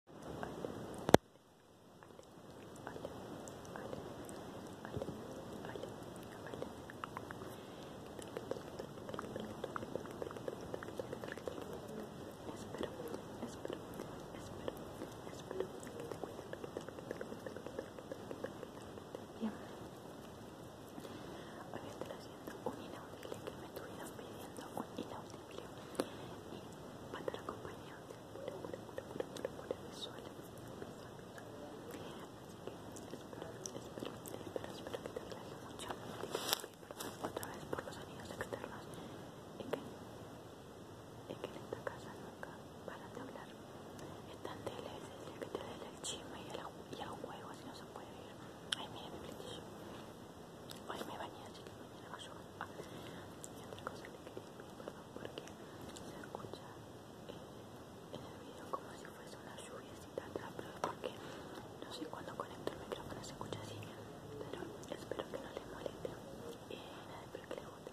espero, hoy haciendo un inaudible que me pidiendo un inaudible y va a estar acompañado de pura, pura, pura, pura, pura, pura visual, visual, Así que espero, espero, espero, espero que te aclare mucho. otra vez por los sonidos externos. Es que, en esta casa nunca paran de hablar. Es tan que te dé el chisme y el juego, así no se puede ir. Ay, mira mi platillo. Hoy me bañé, así que me va a llover. y otra cosa que quería decir, perdón porque se escucha en el video como si fuese una lluviacita pero porque no sé cuándo conecto el micrófono, se escucha así. Pero espero que no les moleste. Y nada, espero que le guste.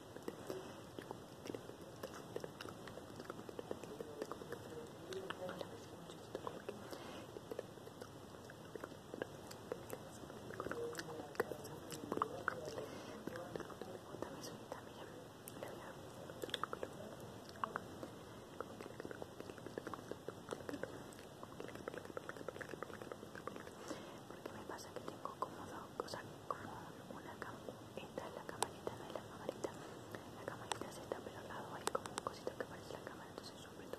Porque me pasa que tengo como dos cosas como una cam esta es la camarita, no es la camarita la camarita se está pero lado hay como un cosito que parece la cámara entonces yo aprieto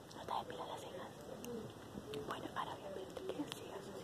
No te pila las cejas. Bueno, ahora obviamente que así,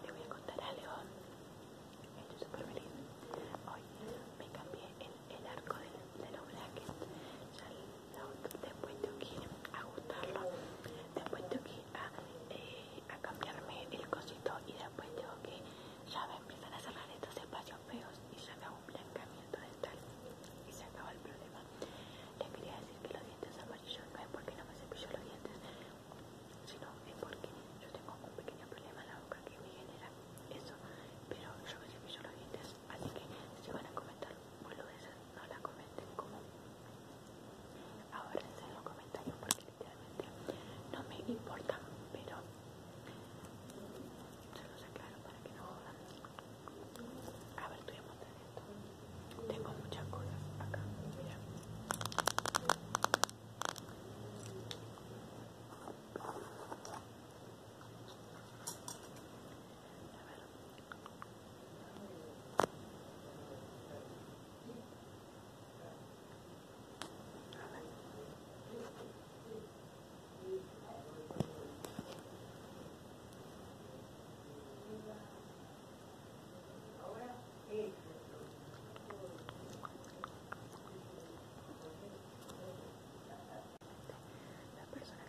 Te voy a contar a He hecho súper feliz. Hoy me cambié el, arco de los brackets. Ya el, la, después tengo a ajustarlo después tengo que eh, a, cambiarme el cosito y después tengo que ya me empiezan a cerrar estos espacios feos y se acaba un blancamiento dental y se acaba el problema les quería decir que los dientes amarillos no es porque no me cepillo los dientes sino es porque yo tengo un pequeño problema en la boca que me genera eso pero yo me cepillo los dientes así que si van a comentar boludeces no la comenten como Ahora en los comentarios porque literalmente no me importa, pero se los sacaron para que no jodan. A ver, estoy esto. Tengo muchas cosas acá, mira. A ver. La persona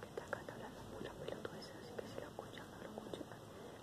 que está acá está hablando así que si lo escucha, lo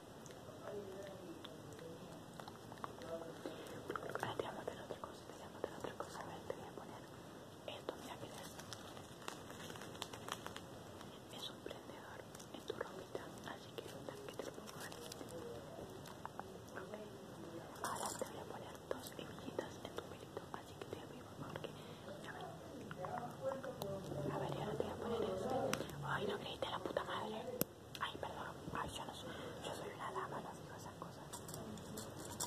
Ahora te voy a poner otra cosa, te a otra cosa. A ver, te voy a poner esto, mira que es. Es un prendedor en tu ropita, así que que te lo pongo ahí. Ok, Ahora te voy a poner dos hebillitas en tu pelito, así que te voy a porque... A ver. A ver, y ahora te voy a poner este. Ay, no creíste la puta madre. Ay, perdón, Ay, yo, no soy, yo soy una dama, no digo esas cosas.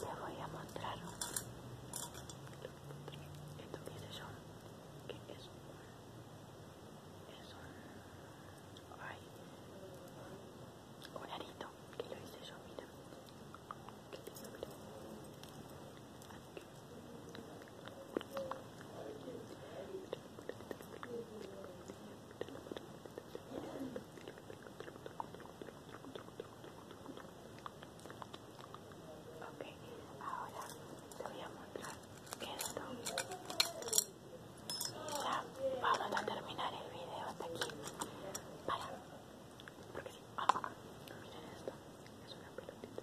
Les voy a mostrar esto qué hice yo, ¿Qué es eso? es un, ay, un arito, que lo hice yo, mira, que tengo, Ok, ahora te voy a mostrar Ya vamos a terminar el video hasta aquí. Para, porque sí, ah, ah, Miren esto, es una pelotita.